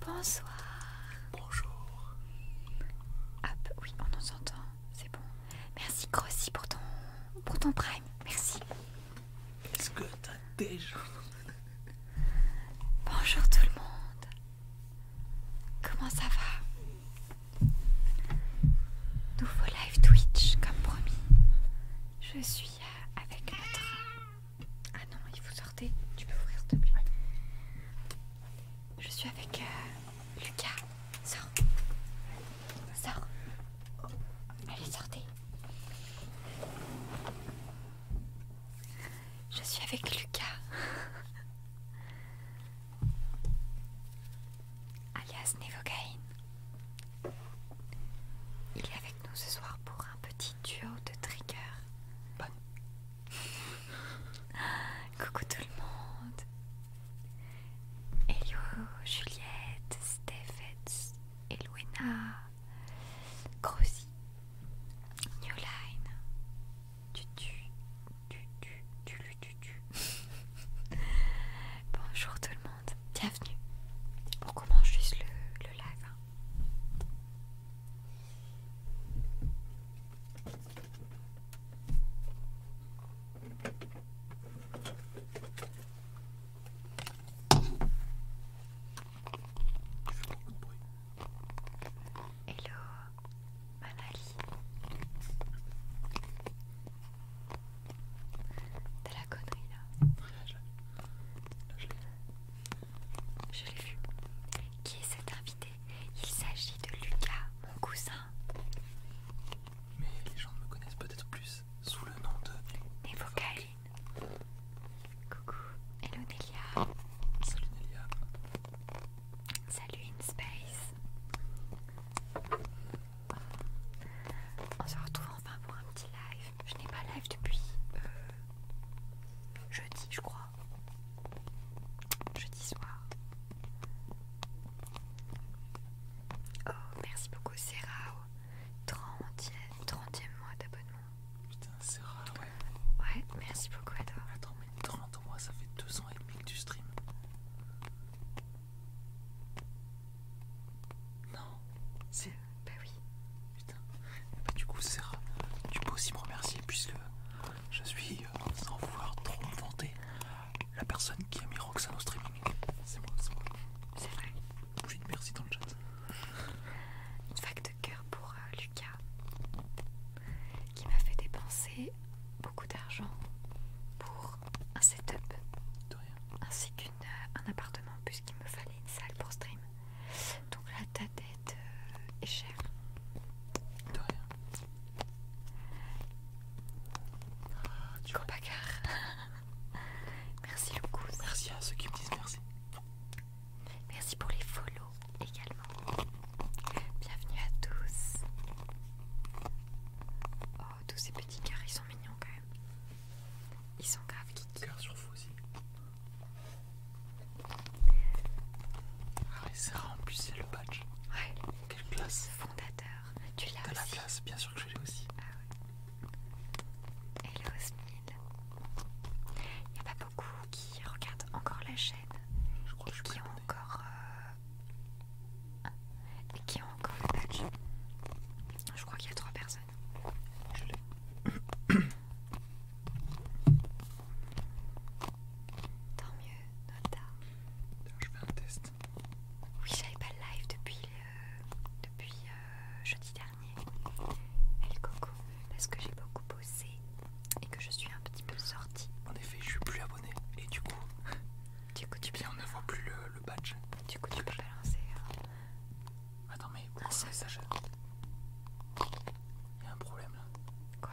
Bonsoir. Bonjour. Hop, ah, bah oui, on nous entend, c'est bon. Merci Grossi pour ton, pour ton prime, merci. Est-ce que t'as déjà... Bonjour tout le monde. Comment ça va Nouveau live Twitch, comme promis. Je suis avec notre ah non, il faut sortir. Tu peux ouvrir, s'il te plaît. Je suis avec euh, Lucas. Sors. Sors. Allez, sortez. Je suis avec Lucas. alias Nevocaine. Il est avec nous ce soir pour un petit duo de trigger. Bonne. Coucou tout le monde. Hello Juliette, Stephens, Elwena, Grosy, Newline, Tutu, tu tu Tutu. Bonjour tout le monde bienvenue. On commence juste le, le live. Hello, Manali. De la connerie là je, l'ai vu. Qui est cet invité Il s'agit de Lucas, mon cousin. Mais les gens me connaissent peut-être plus sous le nom de... Nevocaline. Coucou. Hello Nelia. Salut Nelia. Salut InSpace. On se retrouve enfin pour un petit live. Je n'ai pas live depuis euh, jeudi, je crois. Jeudi soir. Oh, merci beaucoup, Serao. 30e, mois d'abonnement. Putain, Serao, ouais. Ouais, merci beaucoup à Attends, mais 30 mois, ça fait 200 ans et demi que tu stream. Non. C'est. Bah oui. Putain. Bah, du coup, tu peux aussi me remercier puisque je suis, euh, sans vouloir trop me la personne qui a mis Roxanne au streaming. C'est moi, c'est moi. C'est vrai. J'ai une merci dans le chat. Une vague de cœur pour euh, Lucas qui m'a fait dépenser beaucoup d'argent pour un setup. De rien. Ainsi qu'un euh, appartement, puisqu'il me fallait une salle pour stream. Donc là, ta tête euh, est chère. De rien. Ah, pas merci beaucoup. Merci à ceux qui me disent merci. Merci pour les follow également. Bienvenue à tous. Oh, tous ces petits cœurs, ils sont mignons quand même. Ils sont grave sont Cœur sur vous aussi. Ah, c'est en plus, c'est le badge. Ouais. Quelle classe. Fondateur. Tu l'as aussi. T'as la classe, bien sûr que je l'ai aussi. Ah ouais. Hello Smil. Il n'y a pas beaucoup qui regardent encore la chaîne. Je crois que je qui ont encore. Euh, et qui ont encore le badge. Je crois qu'il y a trois personnes. Je l'ai. Tant mieux, Nota. Je fais un test. Oui, j'avais pas le live depuis, euh, jeudi dernier. El Coco, parce que j'ai beaucoup bossé et que je suis un petit peu sortie. En effet, je suis plus abonné et du coup, du coup tu eh peux bien on ne voit plus le badge. Du coup, tu peux balancer Attends, mais est le message Il y a un problème là. Quoi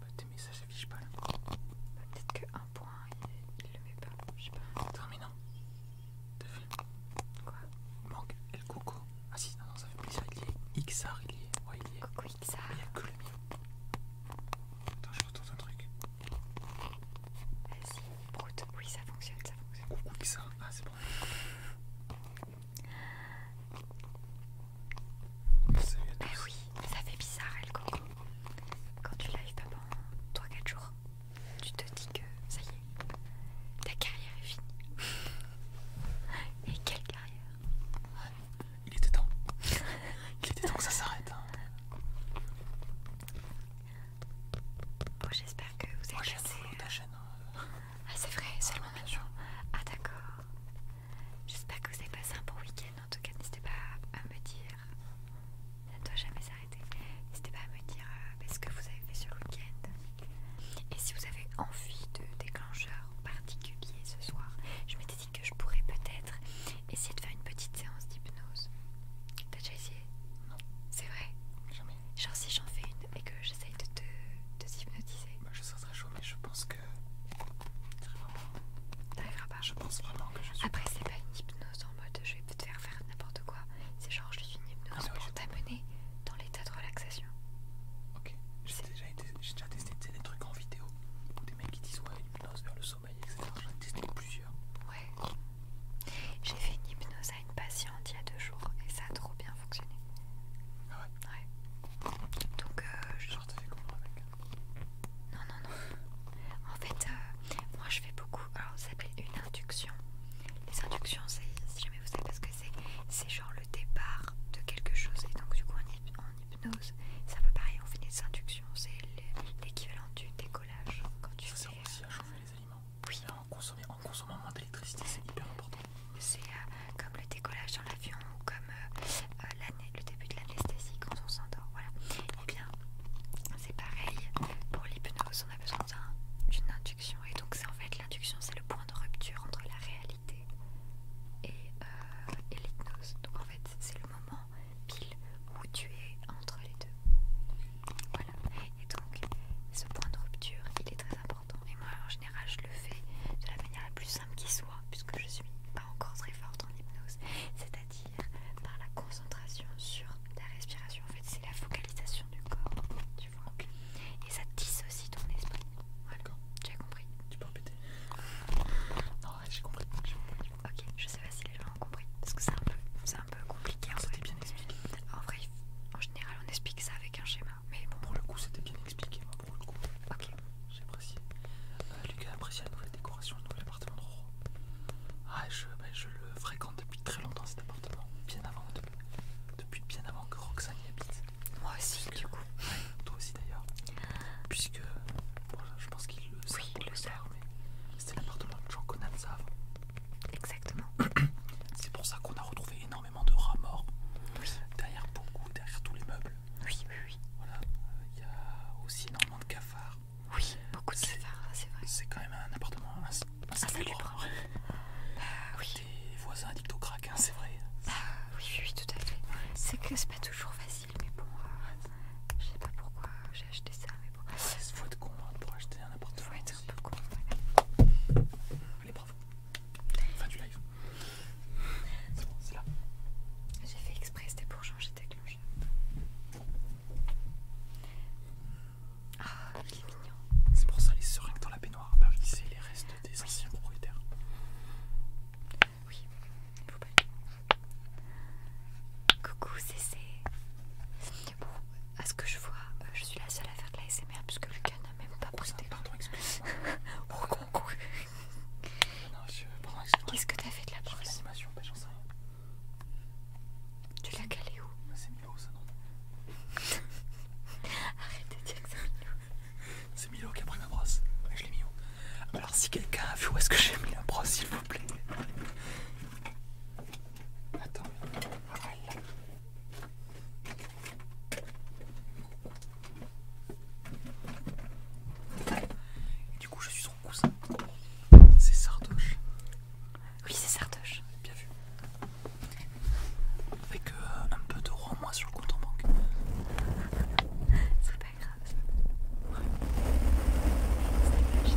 bah, Tes messages s'affichent pas là. Bah, peut-être qu'un point, il, le met pas. Je sais pas. Attends, mais non. Quoi Il manque El Coco. Ah si, non, ça fait plaisir. Il y est. XR, il est. Ouais, il y est. Coco XR. Il y a que le mien. Attends, je retente un truc. Vas-y, Prout. Oui, ça fonctionne, ça fonctionne. Coucou XR. Ah, c'est bon. Mais oui, ça fait bizarre, elle, Quand tu live pas pendant 3-4 jours, tu te dis que ça y est, ta carrière est finie. Et quelle carrière Il était temps. Il était temps que ça s'arrête. Hein. Bon, j'espère que vous avez passé... Euh, hein. ah, c'est vrai, seulement jour. Ah d'accord. J'espère que vous avez passé un bon week-end. En tout cas, n'hésitez pas à me dire. Ça doit jamais s'arrêter. N'hésitez pas à me dire euh, bah, ce que vous avez fait sur week-end. Et si vous avez envie de déclencheur particulier ce soir, je m'étais dit que je pourrais peut-être essayer de faire une petite séance d'hypnose. T'as déjà essayé Non. C'est vrai Genre si j'en fais une et que j'essaye de te hypnotiser. Bah, je serais très chaud, mais je pense que. T'arriveras pas. Je pense vraiment que je suis. Après, c'est pas une hypnose en mode je vais te faire faire n'importe quoi. C'est genre je suis une hypnose ah, pour t'amener dans l'état de relaxation. Ok, j'ai déjà, testé des trucs en vidéo des mecs qui disent ouais, hypnose vers le sommeil, etc. J'en ai testé plusieurs. Ouais. J'ai fait une hypnose à une patiente il y a deux jours et ça a trop bien fonctionné. Ah ouais Donc, euh, je. avec Non, non, non. En fait, euh, moi je fais beaucoup. Alors, ça s'appelle une induction. Les inductions, c'est, si jamais vous savez ce que c'est, c'est genre le départ de quelque chose. Et donc, du coup, en, hypnose, c'est un peu pareil. On fait des inductions, c'est l'équivalent du décollage. Quand tu fais. chauffer les aliments. Euh, oui, en, consommant moins d'électricité, c'est hyper important. C'est euh, comme le décollage dans l'avion ou comme euh, euh, le début de l'anesthésie quand on s'endort. Voilà. Et eh bien, c'est pareil pour l'hypnose, on a besoin d'une induction. Et donc, c'est en fait l'induction, c'est le point de rupture entre la réalité et l'hypnose. Donc, en fait, c'est le moment pile où tu es entre les deux. Voilà. Et donc, ce point de rupture, il est très important. Et moi, en général, je le fais de la manière la plus simple qui soit, puisque je suis pas encore très forte en hypnose, c'est-à-dire par la concentration sur la respiration. En fait, c'est la focalisation du corps, tu vois. Et ça dissocie ton esprit. Tu as compris Tu peux répéter Non, j'ai compris. Ok, je sais pas si les gens ont compris, parce que c'est un peu, un peu compliqué. C'était bien expliqué. En vrai, en général, on explique ça avec un schéma. Mais bon. Pour le coup, c'était bien expliqué. Hein, pour le coup. J'ai apprécié. Euh, Lucas Lucas apprécie la nouvelle décoration, de nouvel appartement de Roro. Ah, ben, je, le fréquente depuis très longtemps cet appartement. Bien avant, depuis, bien avant que Roxane y habite. Moi aussi, du coup. toi aussi d'ailleurs. Puisque, je pense qu'il le sait. le C'était l'appartement de Jean Conan, ça avant. Exactement. C'est pour ça qu'on a retrouvé énormément de rats morts. Derrière beaucoup, derrière tous les meubles. Oui, oui, oui. Voilà. Il y a aussi énormément de cafards. Oui, beaucoup de cafards, c'est vrai. C'est quand même un appartement insalubre. Un, un ah, oui. Des voisins addicts au crack, hein, c'est vrai. Ah, oui, oui, tout à fait. C'est que c'est pas toujours facile, mais bon, euh, je sais pas pourquoi j'ai acheté ça, mais bon. Il faut être con hein, pour acheter un appartement. Les un peu Voilà. Allez, bravo. Fin du live. C'est bon, c'est là. J'ai fait exprès, c'était pour changer de cloches. Ah, il est mignon. C'est pour ça les seringues dans la baignoire. je c'est les restes des anciens propriétaires. Oui, il faut pas. Coucou, c'est. Bon, à ce que je vois, euh, je suis la seule à faire de la l'ASMR puisque Lucas n'a même pas oh, posté. Pardon, excuse-moi. Qu'est-ce que t'as fait de la brosse bah, Tu l'as calé où bah, C'est Milo, ça, non Arrête de dire que c'est Milo. C'est Milo qui a pris ma brosse. je l'ai mis où ah, bah, Alors, si quelqu'un a vu où est-ce que j'ai mis la brosse, s'il vous plaît. Attends, ah, du coup, je suis son cousin. C'est Sardoche. Oui, c'est Sardoche. Bien vu. Avec euh, un peu d'euros en moins sur le compte en banque. C'est pas grave. Oui,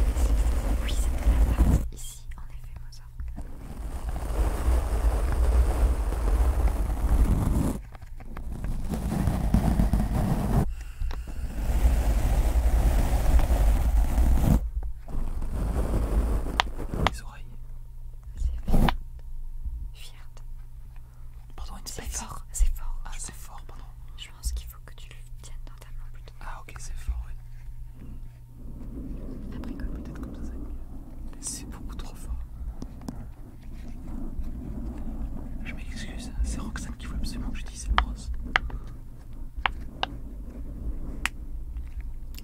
c'est la ici, en effet, moi les oreilles. C'est fier. Pardon, C'est fort, c'est fort. Ah, c'est fort, pardon. Je pense qu'il faut que tu le tiennes dans ta main plutôt. Ah, ok, c'est fort, oui. Après comme peut-être comme ça, ça va mieux. C'est beaucoup trop fort. Je m'excuse, hein. c'est Roxane qui veut absolument que j'utilise cette brosse.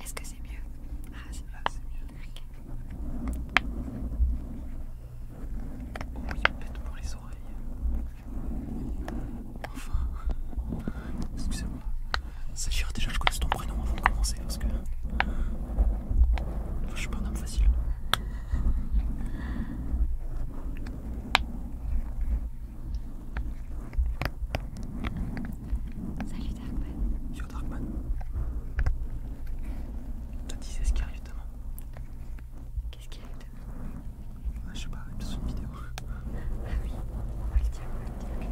Est-ce que ah, c'est mieux Ah, c'est mieux. Oh, il me pète pour les oreilles. Enfin, excusez-moi. Sachira, déjà, je connais ton prénom avant de commencer parce que. je suis pas un homme facile. Salut Darkman. Yo Darkman. T'as dit c'est ce qui arrive demain. Qu'est-ce qui arrive demain ah, Je sais pas, il une vidéo. Bah oui, on va le dire, on va le dire.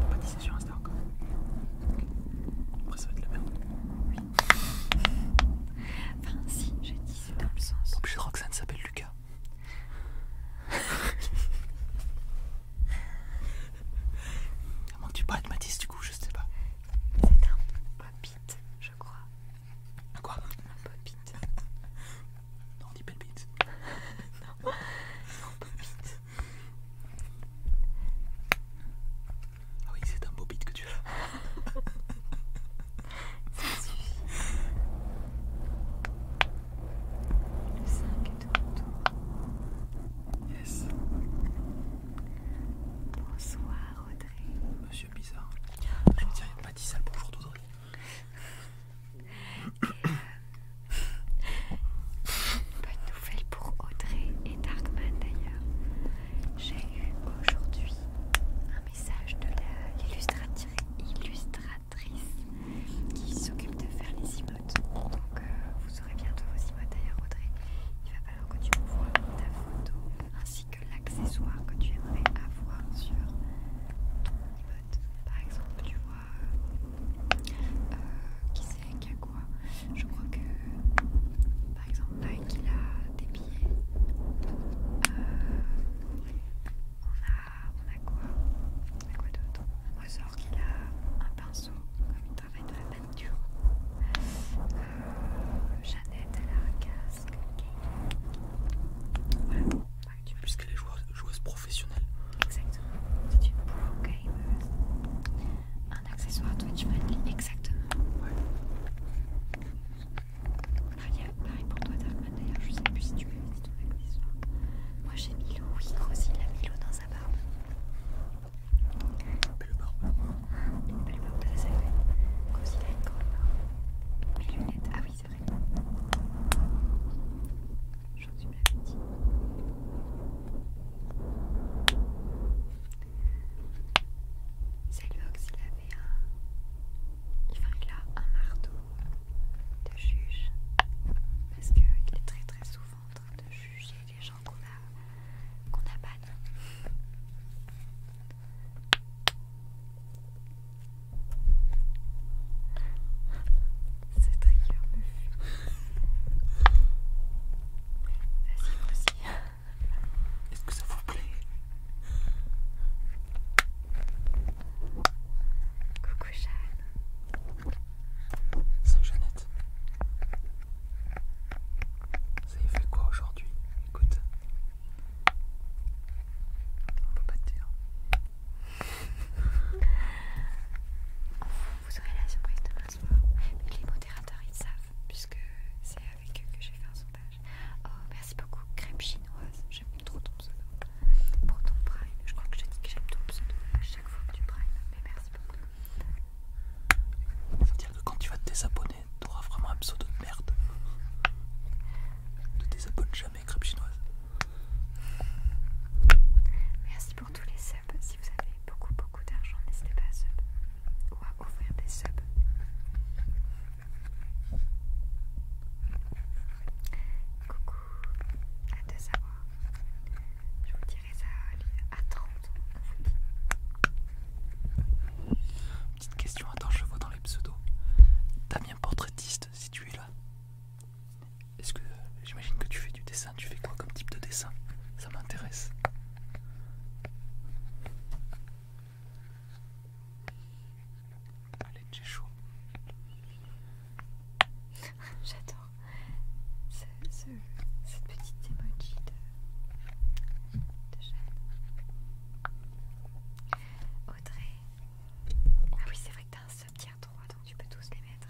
On peut pas sur Insta encore. Non. Après, ça va être la merde. Oui. Enfin, si, j'ai dit dans le sens. Donc, je crois que ça ne s'appelle Lucas. Comment tu parles de Matisse, du coup, je sais pas. C'est un pop-it, je crois. Un quoi Un pop-it. Non, on dit pas de non, non, pas Ah oui, c'est un beau beat que tu as. Ça Le 5 est de retour. Yes. Bonsoir Audrey. Monsieur Bizarre. Oh. Je me dis, il n'y a pas 10 salles bonjour Audrey bonne nouvelle pour Audrey et Darkman d'ailleurs. J'ai eu aujourd'hui un message de l'illustratrice qui s'occupe de faire les emotes. Donc euh, vous aurez bientôt vos emotes d'ailleurs Audrey. Il va falloir que tu vois ta photo ainsi que l'accessoire que tu aimerais avoir sur ton par exemple, tu vois, euh, qui c'est, qui a quoi Je crois que, par exemple, Mike, il a des billets. Euh, on, a, on a quoi On a quoi d'autre qui a un pinceau, comme il travaille dans la peinture. Euh, Jeannette, elle a un casque. Puisqu'elle est joueuse, professionnelle. Exactement. C'est une pro gameuse. Un accessoire Twitch friendly, exactement. Ouais. pareil pour toi Darkman d'ailleurs, je ne sais plus si tu avais dit ton accessoire. Moi j'ai mis l'eau. oui, Grossi il a Milo dans sa barbe. Une belle barbe. Une barbe de la salle. il a une grande barbe. Mes lunettes, ah oui c'est vrai. Aujourd'hui, C'est le Ox, il avait un. Enfin, il a un marteau de juge. Parce qu'il est très très souvent en train de juger les gens qu'on a, qu'on a c'est très me Vas-y, aussi. Est-ce que ça vous plaît Coucou Jeanne. Salut Jeannette. Ça y fait quoi aujourd'hui Écoute. On peut pas te dire vous aurez la surprise demain soir. Mais les modérateurs, ils savent, puisque c'est avec eux que j'ai fait un sondage. Oh, merci beaucoup, crème chinoise. J'aime trop ton pseudo. Pour ton prime, je crois que je dis que j'aime ton pseudo à chaque fois que tu prime. Mais merci beaucoup. C'est à dire que quand tu vas te désabonner, Tu auras vraiment un pseudo de merde. Ne désabonne jamais. Merci pour tous les subs. Si vous avez beaucoup, beaucoup d'argent, n'hésitez pas à sub ou à ouvrir des subs. Coucou, à deux savoir. Je vous dirai ça à 30 Petite question à je vois dans les pseudos. Damien Portraitiste, si tu es là. Est-ce que j'imagine que tu fais du dessin Tu fais quoi comme type de dessin Ça m'intéresse. Allez, j'ai chaud. J'adore cette petite emoji de, Jeanne. Audrey. Ah oui, c'est vrai que t'as un tu peux tous les mettre.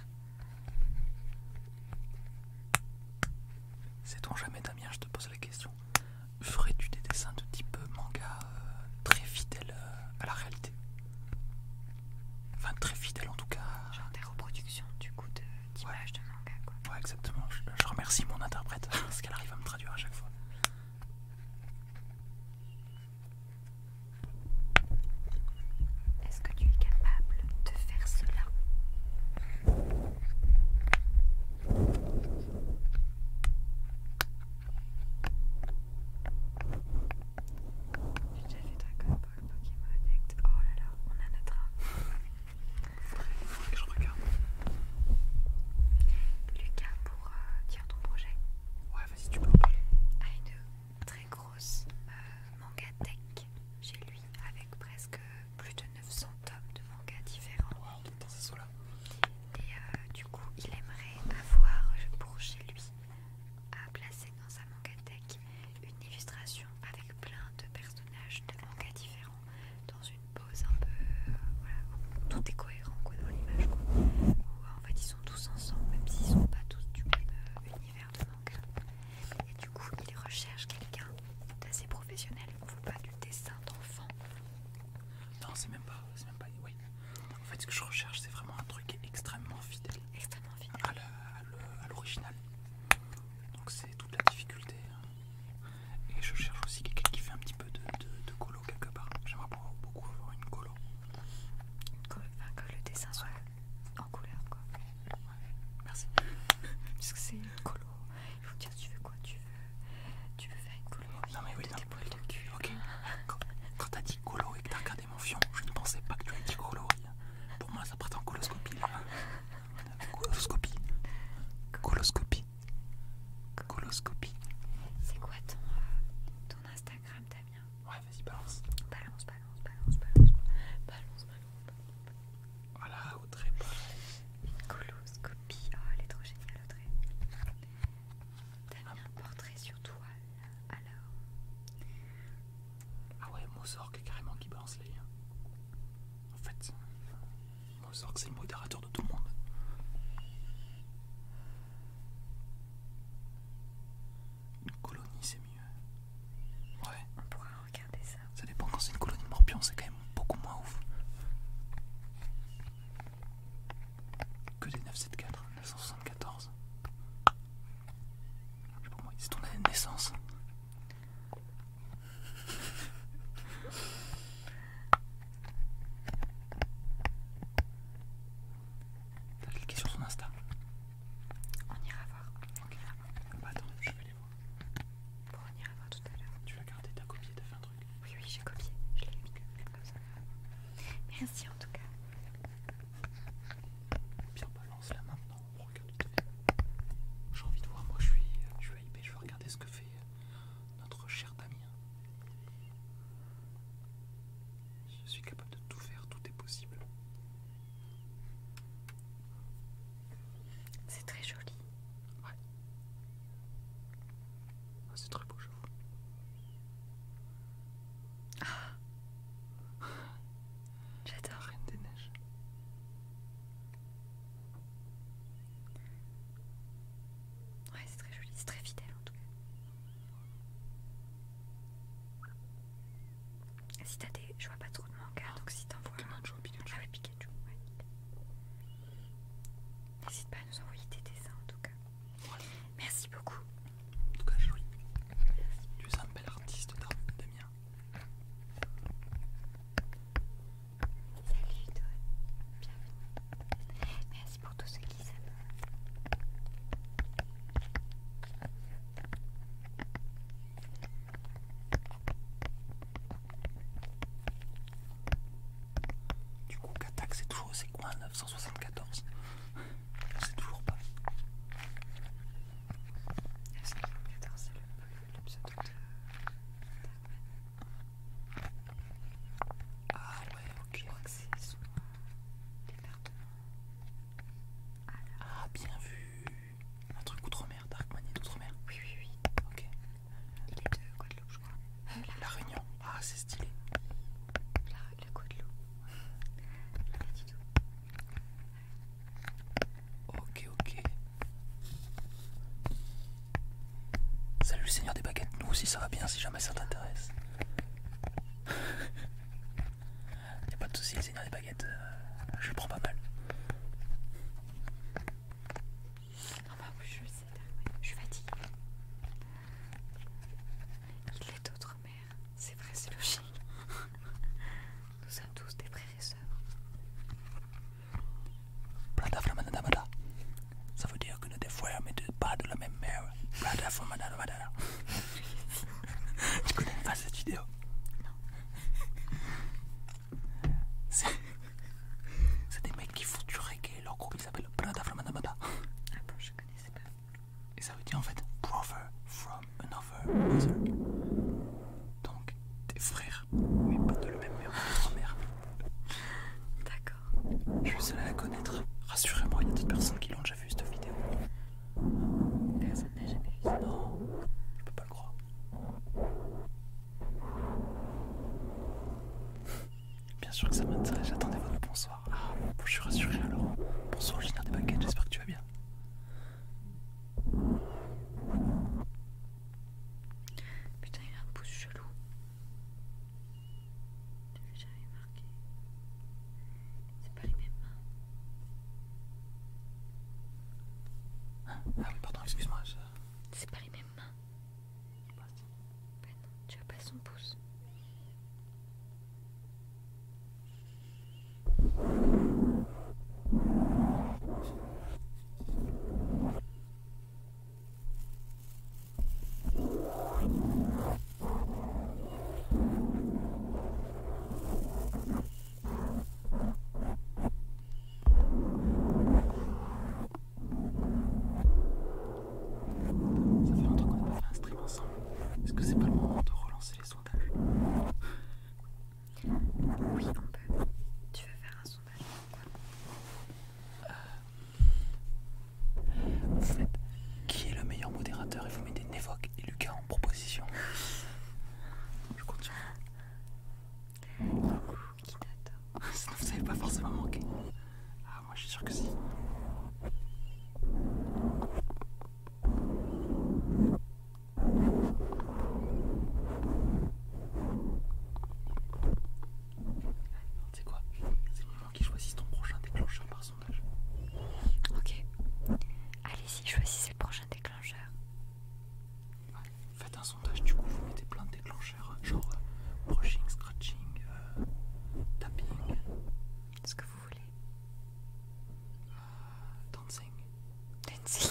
C'est jamais, Damien, je te pose la question. Ferais-tu des dessins de type manga euh, très fidèles euh, à la réalité Enfin, très fidèle en tout cas. Genre des reproductions du coup d'images de, de manga quoi. Ouais, exactement. je remercie mon interprète parce qu'elle arrive à me traduire à chaque fois. Est-ce que tu es capable de faire cela J'ai déjà fait Dragon Ball, Pokémon Act. Oh là là, on a notre âme. Je regarde. Lucas, pour dire euh, ton projet. Ouais, vas-y, tu peux en parler très grosse euh, manga tech chez lui avec presque plus de 900 tomes de manga différents. Et euh, du coup, il aimerait avoir pour chez lui à placer dans sa tech, une illustration avec plein de personnages de manga différents dans une pose un peu euh, tout est cohérent quoi, dans l'image en sont tous ensemble, même s'ils sont pas tous du même euh, univers de manga. Et du coup, ils recherchent quelqu'un d'assez professionnel. Il ne faut pas du dessin d'enfant. Non, c'est même pas. C'est même pas. Oui. En fait, ce que je recherche, c'est vraiment un truc extrêmement fidèle. Extrêmement fidèle. À l'original. Donc, c'est toute la difficulté. Hein. Et je cherche aussi quelqu'un qui fait un petit peu de, de, de colo quelque part. J'aimerais beaucoup avoir une colo que, le dessin soit en couleur quoi. Merci. Parce que c'est une colo. Il faut dire tu veux quoi Tu veux, tu veux faire une colo Non mais oui, de Tes de cul. Ok. Hein. Quand, t'as dit colo et que t'as regardé mon fion, je ne pensais pas que tu avais dit colo. Pour moi, ça partait en coloscopie. Là. Coloscopie. Coloscopie. Coloscopie. C'est quoi ton, euh, ton Instagram Ouais, vas-y, balance. Balance, balance, balance, balance. Balance, balance. Voilà, Audrey, Une Oh, elle est trop géniale, Audrey. T'as mis un ah. portrait sur toi, alors. Ah ouais, Mozork carrément qui balance les liens. En fait, Mozork c'est le modérateur de tout le monde. Une colonie, c'est mieux. Ouais. On pourra regarder ça. Ça dépend quand c'est une colonie de morpions, c'est quand même beaucoup moins ouf. Que des 974, 974. c'est ton année de naissance. T'as cliqué sur son Insta On ira voir. Ok. Bah attends, je vais les voir. Bon, on ira voir tout à l'heure. Tu l'as gardé, t'as copié, t'as fait un truc Oui, oui, j'ai copié. Je l'ai mis comme ça. Merci en tout cas. Bien, balance là maintenant. On regarde tout à J'ai envie de voir, moi je suis, je hypé, je vais regarder ce que fait notre cher Damien. Je suis capable de tout faire, tout est possible. C'est très joli. Ouais. Ah, c'est très beau, je vous. Ah. J'adore. Reine des neiges. Ouais, c'est très joli, c'est très fidèle en tout cas. Si t'as des. Je vois pas trop de mangas, donc si t'envoies. vois un... Ah ouais, Pikachu, N'hésite pas à nous envoyer tes dessins en tout cas. Merci beaucoup. En tout cas, Je Tu es un bel artiste, Damien. Salut, toi. Bienvenue dédicace pour tous ceux qui s'abonnent. Du coup, Katak, c'est toujours c'est quoi un 974 Je sais toujours pas. Est-ce 974, c'est le, le pseudo de. Ah ouais, ok. Je crois que c'est souvent ah, bien vu Un truc outre-mer, Dark Money outre-mer Oui, oui, oui. Ok. Il de Guadeloupe, je crois. la, Réunion. Ah, c'est stylé. La, le Guadeloupe. Pas Ok, ok. Salut Seigneur des Baguettes, nous aussi ça va bien si jamais ça t'intéresse. Y'a pas de soucis, le seigneur des baguettes, euh, je prends pas mal. bah oui, je sais, je suis fatiguée. Il est d'autres mères, c'est vrai, c'est logique. Nous sommes tous des frères et sœurs. Ça veut dire que nous des frères mais pas de la même mère Tu connais pas cette vidéo Non. C'est des mecs qui font du reggae, leur groupe ils s'appelle Prada from Ah bon, je connaissais pas. Et ça veut dire en fait brother from another brother Donc des frères, mais pas de la même mère ou de mère. D'accord. Je suis seul à la connaître. Rassurez-moi, il y a d'autres personnes qui l'ont déjà juste vidéo Personne n'a jamais vu ça. Non, je peux pas le croire. Bien sûr que ça m'intéresse, j'attendais votre bonsoir. Ah, je suis rassuré alors. Bonsoir, Génial des baguettes, j'espère que tu vas bien. Putain, il a un pouce chelou. Tu J'avais jamais marqué. C'est pas les mêmes mains. Ah oui, pardon, excuse-moi. C'est pas les mêmes mains. ben non, tu as pas son pouce. Ça fait longtemps qu'on n'a pas fait un stream ensemble. Est-ce que c'est pas le moment de relancer les sondages Oui, on peut. Tu veux faire un sondage euh, vous faites qui est le meilleur modérateur et vous mettez Nevoque et Lucas en proposition. Je continue. Qui Ça vous savez pas forcément manquer. Ah, moi je suis sûr que si. C'est quoi C'est le moment qui choisit ton prochain déclencheur par Ok. Allez-y, choisissez le prochain déclencheur. Faites un sondage, du coup vous mettez plein de déclencheurs, hein, genre euh, brushing, scratching, euh, tapping. Ce que vous voulez. Euh, dancing. Dancing.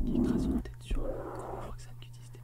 dancing. tête sur le qui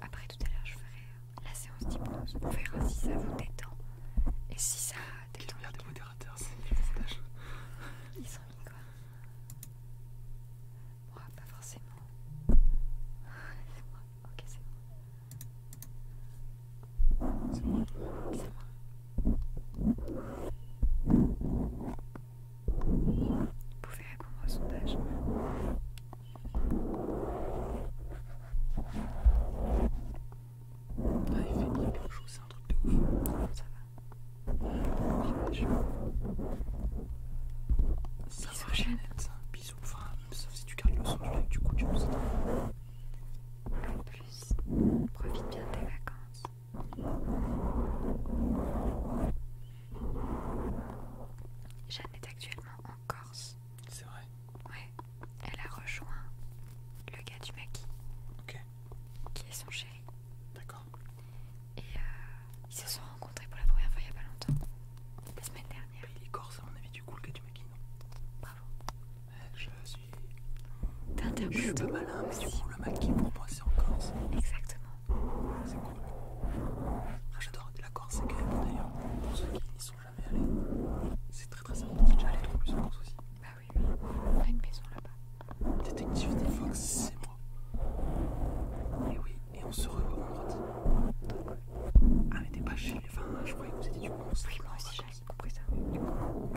après tout à l'heure, je ferai euh, la séance d'hypnose. pour voir si ça vous détend. Et si ça détend. Quel des modérateurs, c'est les Ils sont mis quoi Moi, ah, pas forcément. C'est moi. Ok, c'est moi. C'est moi. C'est moi. Vous pouvez répondre au sondage. Ah, il fait bien quelque chose, c'est un truc de ouf. Ça va. Bisous, ça va, Jeannette. Bisous. Enfin, sauf si tu gardes le son, du coup, tu me En plus, profite bien de tes vacances. Jeanne est actuellement en Corse. C'est vrai. Ouais. Elle a rejoint le gars du maquis. Ok. Qui est son chéri. D'accord. Et euh, ils se sont rencontrés pour la première fois il y a pas longtemps. La semaine dernière. Mais il est corse à mon avis du coup le gars du maquis, non Bravo. Je suis. Je pas malin, mais du le maquis pour moi en Corse. Exactement. C'est cool. Ah, j'adore la Corse, c'est quand d'ailleurs, pour ceux qui n'y sont jamais allés, c'est très très sympa. Déjà allé trop plus en Corse aussi. Bah oui, oui, on a une maison là-bas. Détective des Fox, c'est moi. Et oui, et on se revoit en droite. Ah, mais t'es pas chez les Enfin, je croyais que vous étiez du coup. Oui, moi aussi, j'avais compris ça. Du coup,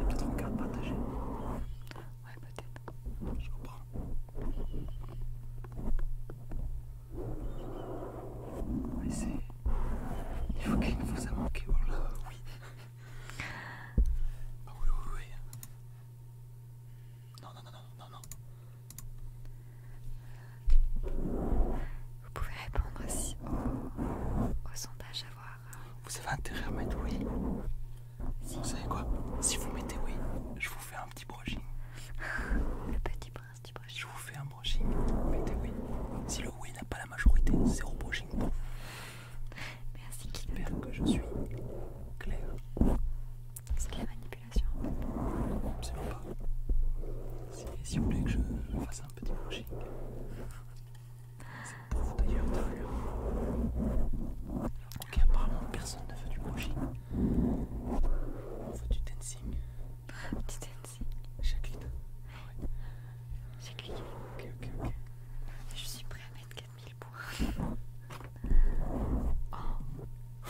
Et peut-être en carte partagée. Ouais, peut-être. Je comprends. Ouais, c'est. Il faut qu'il vous a manqué, voilà. Oui. bah oui, oui, oui. Non, non, non, non, non, non. Vous pouvez répondre aussi au, sondage à voir. Vous avez intérêt à mettre oui. Vous savez quoi Si vous mettez oui, je vous fais un petit brushing. Le petit prince du brushing. Je vous fais un brushing. Mettez oui. Si le oui n'a pas la majorité, zéro brushing Merci vous. Merci J'espère que je suis clair. C'est de la manipulation. Absolument pas. si vous voulez que je fasse un petit brushing. C'est pour vous d'ailleurs, d'ailleurs. Hein. Ok, apparemment personne ne fait du brushing. On fait du dancing. petit dancing Jacqueline ouais. Ok, ok, ok. Je suis prêt à mettre 4000 points. Oh.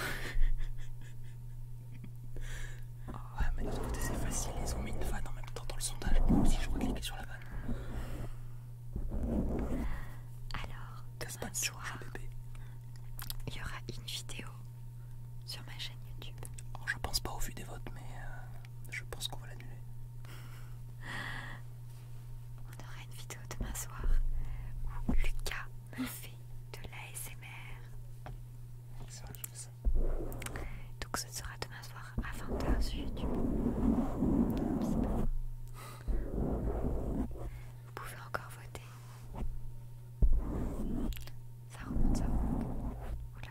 ouais mais de l'autre côté c'est facile, ils ont mis une vanne en même temps dans le sondage. Moi aussi je recliquais sur la vanne. Alors, demain soir, il y aura une vidéo sur ma chaîne YouTube. Je oh, je pense pas au vu des votes, mais euh, je pense qu'on va l'annuler. On aura une vidéo demain soir où Lucas me fait de l'ASMR. Donc ce sera demain soir avant à 20 sur YouTube. Vous pouvez encore voter. Ça remonte, ça remonte. Oula.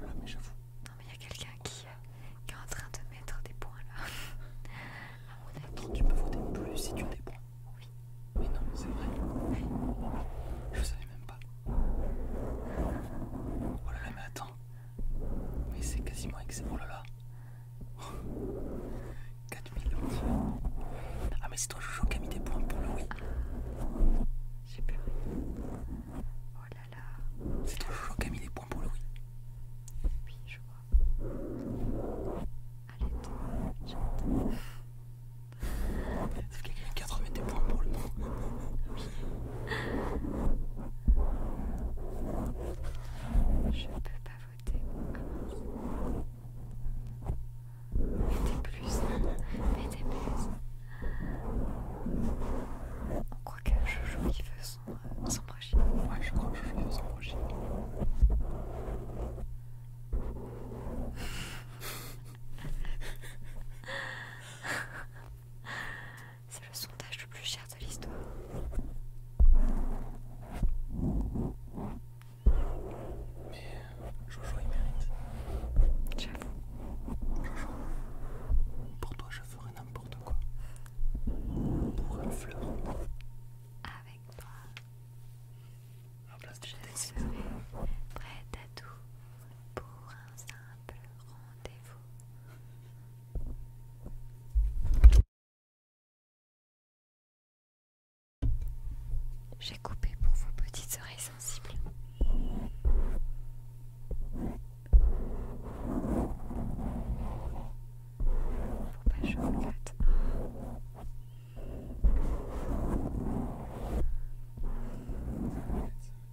là, mais j'avoue. Non, mais il y a quelqu'un euh, qui, est en train de mettre des points là. à mon Attends, tu peux voter plus si tu as des points. Oui. Mais non, mais c'est vrai. Je savais même pas. Oh là là, mais attends. Mais c'est quasiment excellent. Oh là là. 4000 Ah mais c'est toi Jojo qui a mis des points pour le oui. J'ai pleuré. Oh là là. C'est toi Jojo qui a mis des points pour le oui. Oui, je crois. Allez toi, C'est Sauf quelqu'un qui a remis des points pour le non. Je peux pas voter. Mettez plus. Mettez plus. On croit que Jojo il veut euh, son, projet. Ouais, je crois que Jojo il veut son projet. C'est le sondage le plus cher de l'histoire. Mais Jojo il mérite. J'avoue. Jojo, pour toi je ferai n'importe quoi. Pour une fleur. Avec toi. je serai prête à tout pour un rendez-vous. J'ai coupé pour vos petites oreilles sensibles.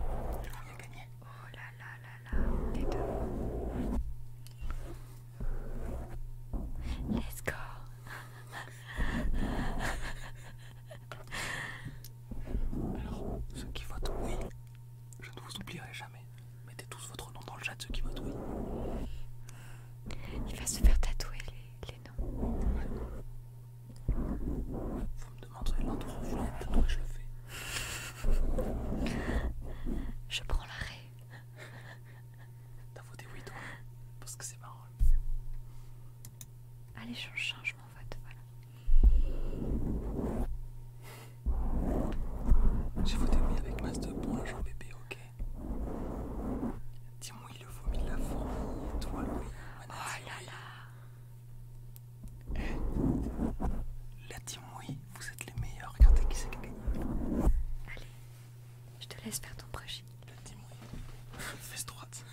Oh là là là là. Les deux. Let's go. Alors, ceux qui votent oui, je ne vous oublierai jamais. Mettez tous votre nom dans le chat, ceux qui votent oui. Il va se faire tatouer les, les noms. Vous me demanderez l'endroit où vous je le fais. Je prends l'arrêt. T'as voté oui, toi Parce que c'est marrant. Allez, je change mon vote, voilà. J'ai voté oui avec masse de bon Jean bébé, ok Dis-moi, il le vomi de la forme, toi, lui. Oh là là eh, la team vous êtes les meilleurs. Regardez qui c'est qui a gagné. Allez, je te laisse faire ton projet. La team Fesse droite.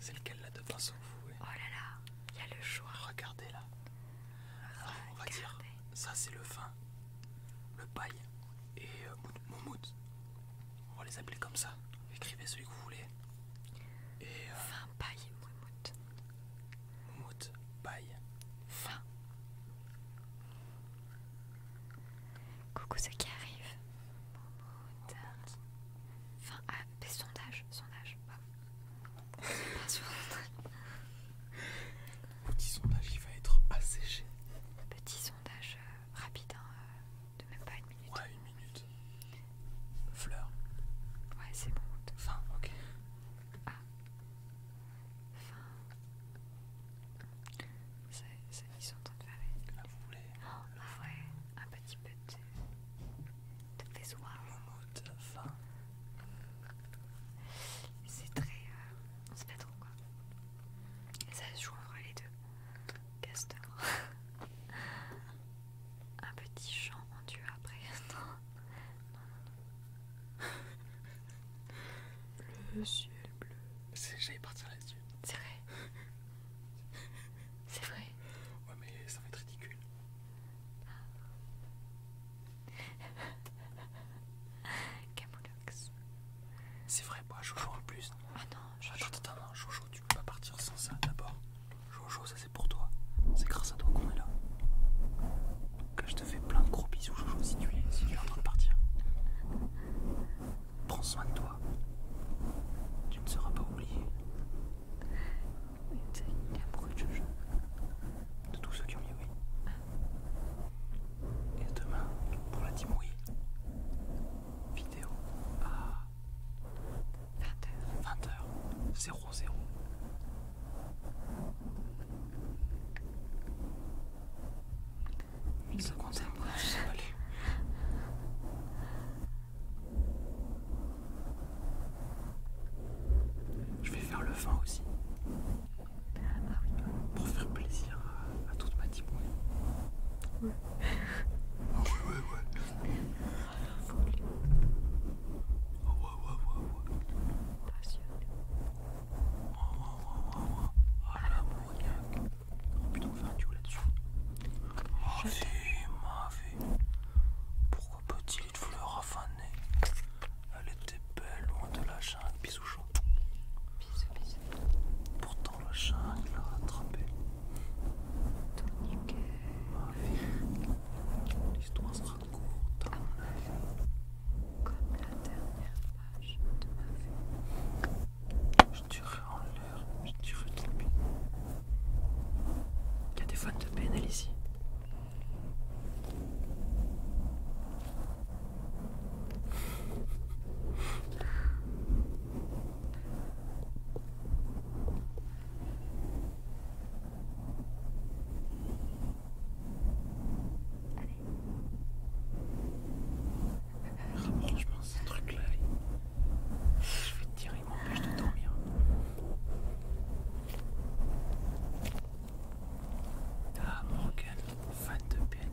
C'est lequel là de pinceau vous Oh là là, il y a le choix. Regardez là. on va dire, ça c'est le vin, le paille et euh, mon Moumout. On va les appeler comme ça. Écrivez celui que vous voulez. Et. fin euh, paille, Mout. Mout, paille. Fin. Coucou ceux qui arrivent. Moumoute. Fin. Ah, sondage. sondage, Sondage. Pas sur Petit sondage il va être asséché. Petit sondage euh, rapide. Hein, euh de même pas une minute. Ouais, une minute. Fleur. Ouais, c'est bon. Fin, ok. Ah. Fin. Ça, ça, ils sont en train de faire. Là, vous voulez. Oh, ah, ah ouais, un petit peu de. de faisoir. de fin. C'est très. C'est euh, sait pas trop quoi. Et ça se joue les deux. Castor. Un petit chant en dieu après. Non, non, non. Le ciel bleu. J'allais partir là-dessus. C'est vrai. C'est vrai. Ouais, mais ça va être ridicule. Camoulox. C'est vrai, moi Jojo en plus. Ah non, Jojo. Attends, Jojo, tu peux pas partir sans ça d'abord. Jojo, ça c'est pour toi. C'est grâce à toi qu'on est là. Que je te fais plein de gros bisous, Jojo, si tu es, tu es en train de partir. Prends soin de toi. Tu ne seras pas oublié. Il a beaucoup de Jojo. De tous ceux qui ont mis oui. Et demain, pour la Timouille, vidéo. à... Ah. 20 20h. 00. 0. Il se compte je vais faire le fin aussi. Ah oui. Pour faire plaisir à, toute manière m'a ouais oui. Ouais. oui, ouais, ouais. Ah ouais, ouais, ouais, Passionné. Oh, ah Ah Oh putain, on faire un là-dessus. Ma vie, ma vie. Pourquoi petit lit de fleurs affané Elle était belle, loin de la jungle. Bisous chaud. Bisous, bisous. Pourtant, sur le chat, il rattrapé. Tout nickel. L'histoire sera courte. Comme la dernière page de ma vie. Je dirais en l'air, je dirais de lui. Il y a des fans de PNL ici. Allez. moi ce truc-là, je vais te dire il m'empêche de dormir. Ah, Morgan, fan de PNL.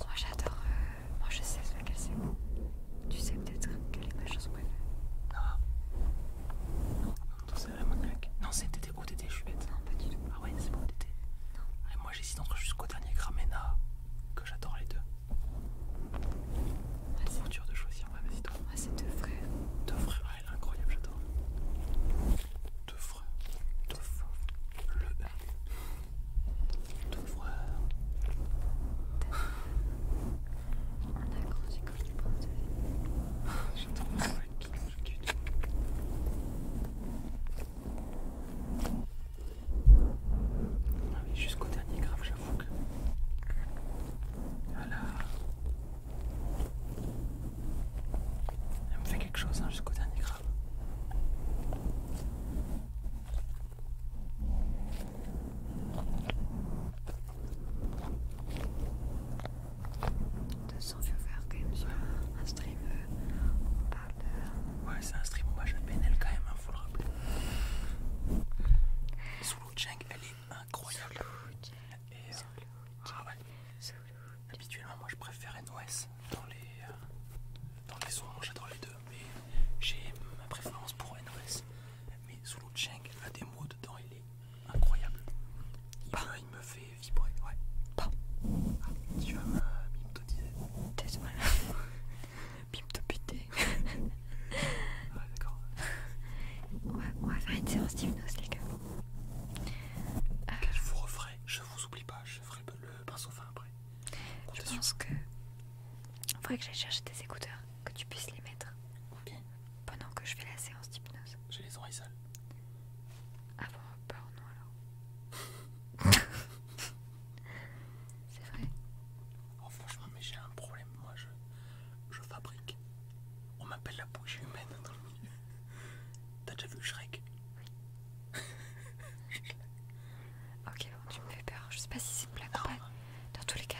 Moi j'adore. Euh, moi je sais laquelle c'est. Tu sais peut-être quelle est ma chose préférée. non Non, c'est claque. Non, c'est TT. ou oh, TT, je suis bête. Non, pas du tout. Ah ouais, c'est pas TT. Non. Et moi j'hésite entre jusqu'au dernier cramena que j'adore les deux. Ouais, c'est dur de choisir. vas-y, toi. Ah c'est deux frères. Deux frères elle est incroyable, j'adore. Teufreur. Teufreur. Le Teufreur. On a grandi comme des pomme de lait. J'adore, tout, je quitte. Ah oui, jusqu'au dernier grave, j'avoue que... voilà. Elle me fait quelque chose hein, jusqu'au dernier grave. De viewers quand même sur un stream, euh, Ouais c'est un stream, on va jouer PNL quand même, hein, faut le rappeler. l'eau Cheng, elle est incroyable. Et, euh, ah Habituellement, moi je préfère NOS dans les, euh, dans les sons, j'adore les deux, mais j'ai ma préférence pour NOS. Mais Zulu Cheng a des mots dedans, il est incroyable. Il, me, fait vibrer, ouais. Ah, tu vas me bim Désolé. pité ouais, d'accord. Ouais, on va faire une séance d'hypnose, les gars je vous euh, referai, je vous oublie pas, je ferai le pinceau fin après. je pense que. Il faudrait que j'aille chercher des écouteurs, que tu puisses les mettre. Pendant que je fais la séance d'hypnose. J'ai les oreilles sales. Ah bon, non alors. C'est vrai. Oh franchement, mais j'ai un problème, moi je, je fabrique on m'appelle la bouche humaine T'as déjà vu Shrek Oui. Ok, bon, tu me fais peur. Je sais pas si c'est une blague ou Dans tous les cas,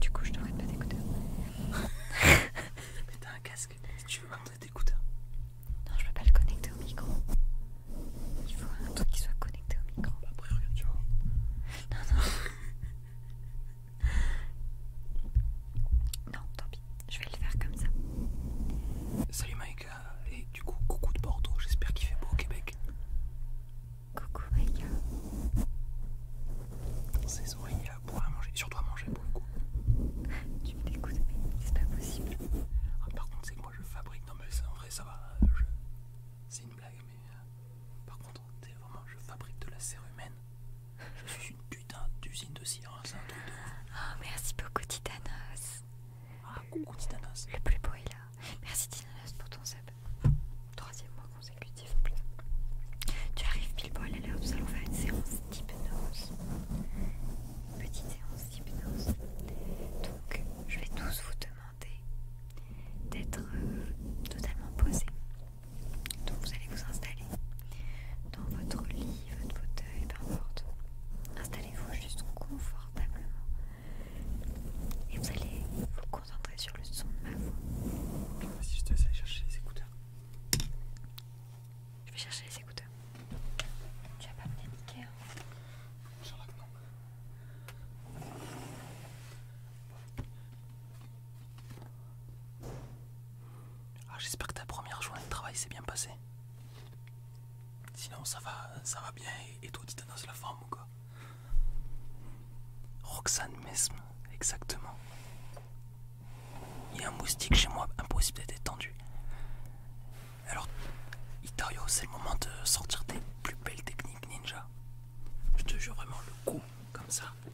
du coup, je devrais pas t'écouter. Mais t'as un casque. Si tu veux m'entraîner t'écouter Non, je peux pas le connecter au micro. Il faut un truc qui soit connecté au micro. Bah, après, regarde, tu vois. Non, non non, tant pis, je vais le faire comme ça. Salut Maïka, et du coup, coucou de Bordeaux, j'espère qu'il fait beau au Québec. Coucou Maïka. Ces oreilles, il a pour à manger, surtout à manger pour le coup. Tu me dégoûtes, mais c'est pas possible. Ah, par contre, c'est que moi je fabrique, non mais en vrai ça va, c'est une blague, mais euh, par contre, c'est vraiment, je fabrique de la serre humaine je suis une putain d'usine de cire, hein. tout Oh, merci beaucoup, Titanos. Ah, coucou, Titanos. Le plus beau est là. Merci, Titanos, pour ton sub. Troisième mois consécutif. en plus. Tu arrives pile poil à l'heure, nous allons faire une séance d'hypnose. Petite séance d'hypnose. Donc, je vais tous vous demander d'être euh, totalement posés. Donc vous allez vous installer dans votre lit, votre fauteuil, peu importe. Installez-vous juste confortablement et vous allez vous concentrer sur le son de ma voix. Ah, je dois chercher les écouteurs. Je vais chercher les écouteurs. Tu vas pas me niquer, hein Genre là que non. Ah, j'espère que ta première journée de travail s'est bien passée. Sinon, ça va, ça va bien. Et toi, tu dans la forme ou quoi Roxane même exactement. Il y a un moustique chez moi, impossible d'être tendu Alors, Itario, c'est le moment de sortir tes plus belles techniques ninja. Je te jure vraiment le coup, comme ça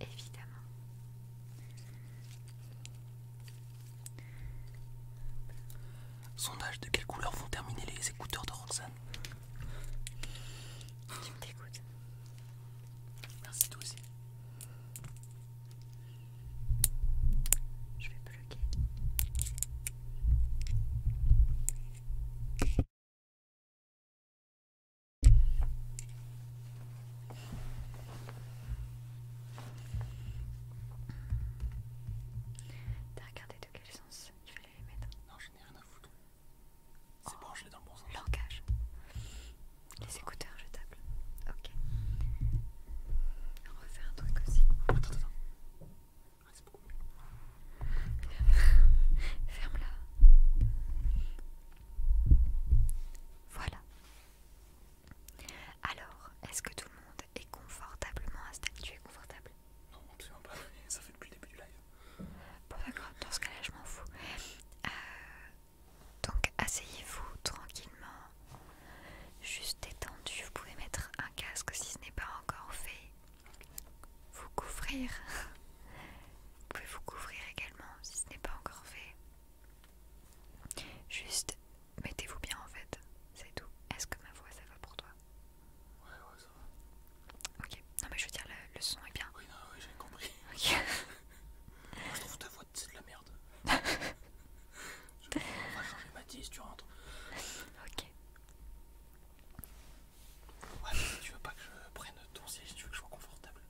évidemment. Sondage de quelle couleur vont terminer les écouteurs de Roxane Tu me t'écoutes. Merci toi aussi. Je vais bloquer. T'as regardé de quel sens il fallait les mettre Non, je n'ai rien à foutre. C'est bon, je l'ai dans bon sens. Langage. Les écouteurs jetables. Ok. On va faire un truc aussi. Attends, attends. Ah, c'est beaucoup mieux. Ferme-la. Voilà. Alors, est-ce que tout le monde est confortablement installé Tu es confortable Non, absolument pas. Ça fait depuis le début du live. Bon, d'accord. Dans ce cas-là, je m'en fous. Euh, donc, asseyez-vous tranquillement, juste étendu. Vous pouvez mettre un casque si ce n'est pas encore fait vous couvrir. Vous pouvez vous couvrir également si ce n'est pas encore fait. Juste mettez-vous bien en fait, c'est tout. Est-ce que ma voix ça va pour toi Ouais, ouais, ça va. Ok, non mais je veux dire, le, son est bien. Oui, oui, j'ai compris. Ok. Moi, je trouve ta voix, c'est de la merde. je va changer ma tu rentres. Ok. Ouais, tu veux pas que je prenne ton siège, tu veux que je sois confortable.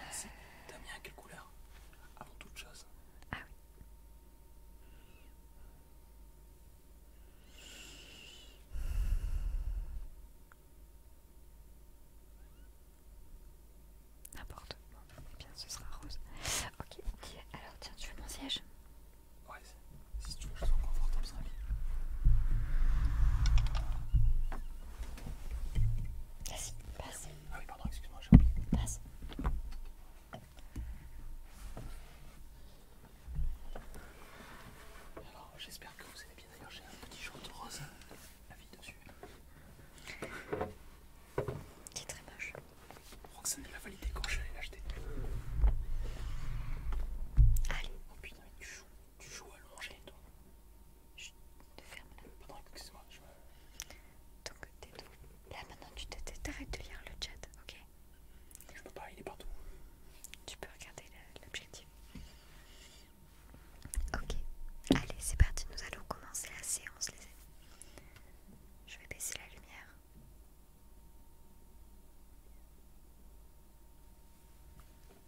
T'as à quelle couleur Avant toute chose. Ah oui. N'importe. Eh bien, ce sera rose. Ok. Alors, tiens, tu veux mon siège Ouais. Si tu veux que je sois confortable, ça va Vas-y, passe. Ah oui, pardon, excuse-moi, j'ai oublié. Passe. Alors, j'espère que vous allez bien. D'ailleurs, j'ai un petit jaune de rose à vie dessus. C'est très moche. Je crois que ça nous l'a validé quand je l'ai l'acheter. Allez. Oh putain, avec du chou. Tu joues à manger, toi. te ferme là. moi Donc, t'es tout. Là, maintenant, tu t'arrêtes de lire le chat, ok Je peux pas, il est partout. Tu peux regarder l'objectif. Ok, allez, c'est parti, nous allons commencer la séance, les Je vais baisser la lumière.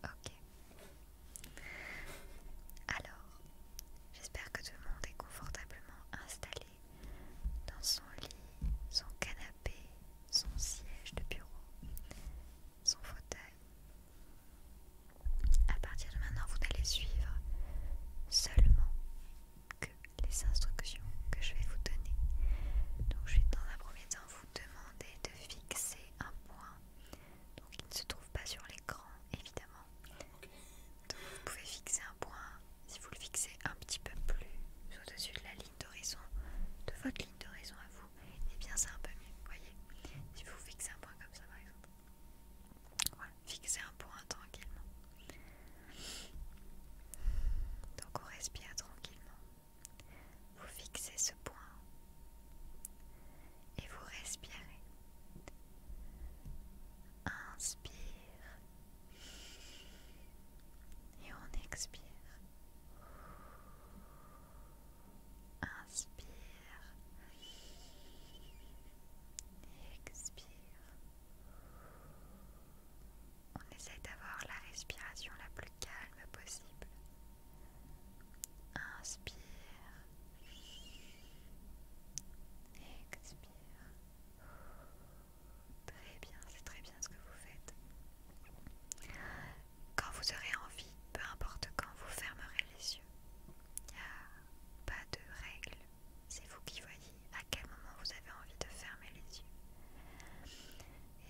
Ok. Alors, j'espère que tout le monde est confortablement installé dans son lit, son canapé, son siège de bureau, son fauteuil. À partir de maintenant, vous n'allez suivre seulement que les instructions que je vais vous donner. Donc, je vais dans un premier temps vous demander de fixer un point donc il ne se trouve pas sur l'écran évidemment donc vous pouvez fixer un point si vous le fixez un petit peu plus au-dessus de la ligne d'horizon de votre ligne d'horizon à vous et eh bien c'est un peu mieux voyez si vous fixez un point comme ça par exemple voilà fixez un point tranquillement donc on respire tranquillement vous fixez ce point et vous respirez. Inspire et on expire. Inspire et expire. On essaie d'avoir la respiration la plus calme possible. Inspire. Expire. Très bien, c'est très bien ce que vous faites. Quand vous aurez envie, peu importe quand, vous fermerez les yeux. Il n'y a pas de règle. C'est vous qui voyez à quel moment vous avez envie de fermer les yeux.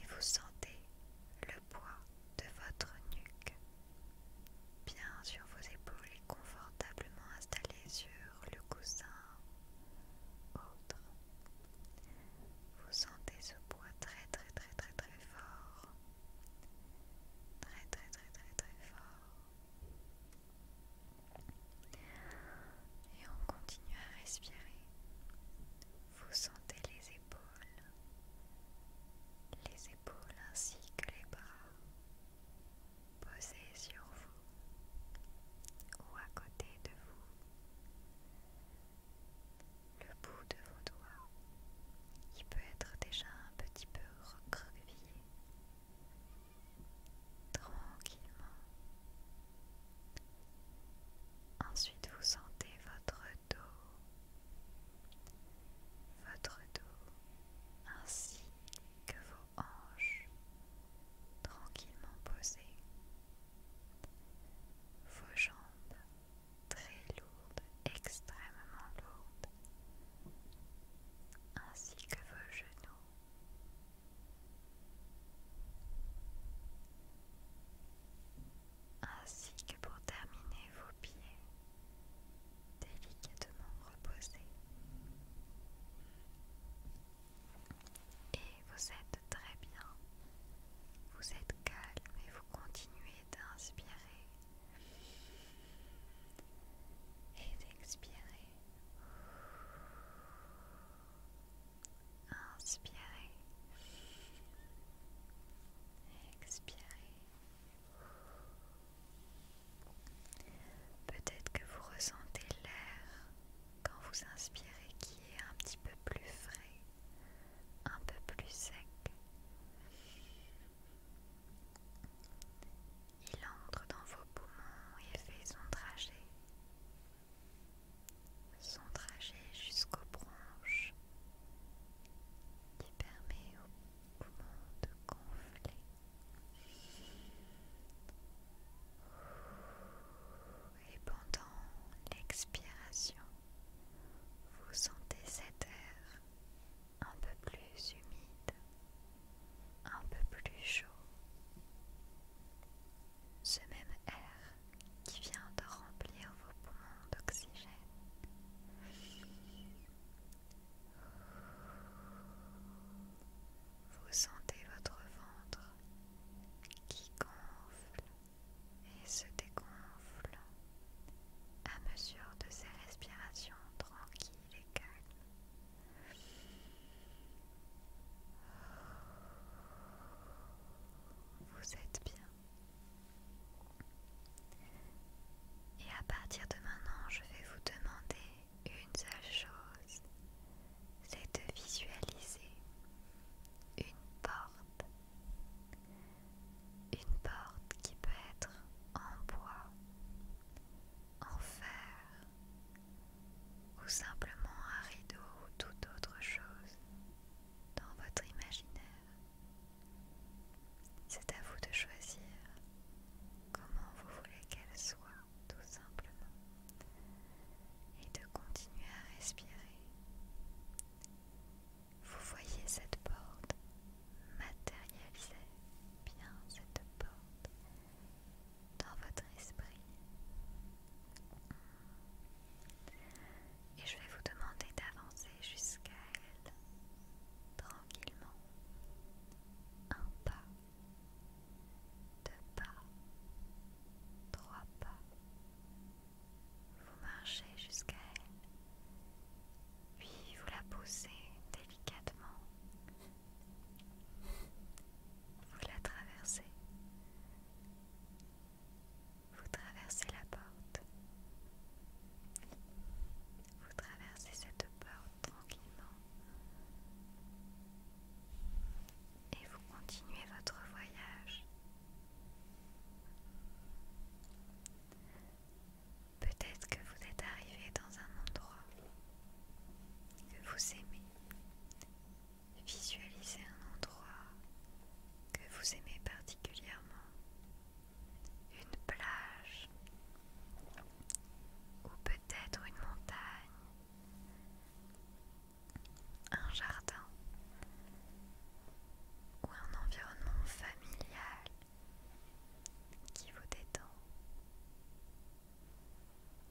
Et vous sentez le poids de votre nuque, bien sur vos épaules et confortablement installé sur le coussin autre. Vous sentez ce poids très très très très très fort. Très très très très très fort. Et on continue à respirer. Vous sentez les épaules les épaules ainsi que les bras posés sur vous ou à côté de vous. Le bout de vos doigts, qui peut être déjà un petit peu recroquevillé, tranquillement Ensuite, vous sentez votre dos, votre dos ainsi que vos hanches tranquillement posées, vos jambes très lourdes, extrêmement lourdes, ainsi que vos genoux ainsi que pour terminer vos pieds délicatement reposés. Et vous êtes très bien, vous êtes calme et vous continuez d'inspirer et d'expirer. Inspirez. Expirez. Peut-être que vous ressentez l'air quand vous inspirez qui est un petit peu plus frais, un peu plus sec. Il entre dans vos poumons et fait son trajet son trajet jusqu'aux branches qui permet au poumon de gonfler. Et pendant l'expiration, vous sentez cet air un peu plus humide, un peu plus chaud. Ce même air qui vient de remplir vos poumons d'oxygène. Vous sentez votre ventre qui gonfle et se dégonfle à mesure de ces respirations tranquilles et calmes. Vous êtes bien. Et à partir de maintenant, je vais vous demander une seule chose, c'est de visualiser une porte. Une porte qui peut être en bois, en fer ou simplement un rideau ou toute autre chose dans votre imaginaire. C'est à vous de choisir comment vous voulez qu'elle soit, tout simplement, et de continuer à respirer. Vous voyez cette porte matérialiser bien cette porte dans votre esprit. Et je vais vous demander d'avancer jusqu'à elle tranquillement. Un pas, deux pas, trois pas. Vous marchez jusqu'à elle, puis vous la poussez délicatement. Vous la traversez vous traversez la porte. Vous traversez cette porte tranquillement. Et vous continuez votre voyage. Peut-être que vous êtes arrivé dans un endroit que vous aimez, Visualisez un endroit que vous aimez particulièrement, une plage ou peut-être une montagne, un jardin ou un environnement familial qui vous détend.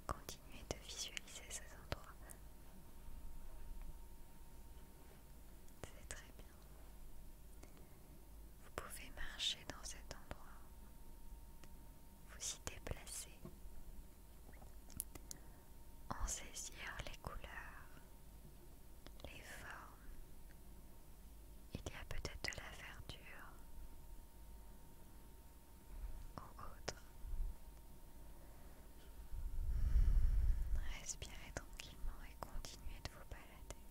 Continuez de visualiser ces endroits. C'est très bien. Vous pouvez marcher dans cet endroit, vous y déplacer, en saisir les couleurs, les formes. Il y a peut-être de la verdure ou autre. Respirez tranquillement et continuez de vous balader.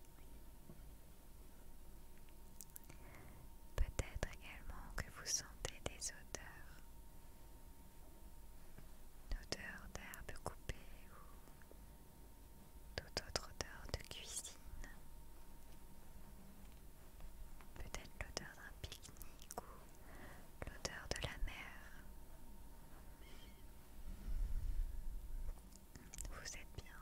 Peut-être également que vous sentez des odeurs, une odeur d'herbe coupée ou toute autre odeur de cuisine. Peut-être l'odeur d'un pique-nique ou l'odeur de la mer. Vous êtes bien.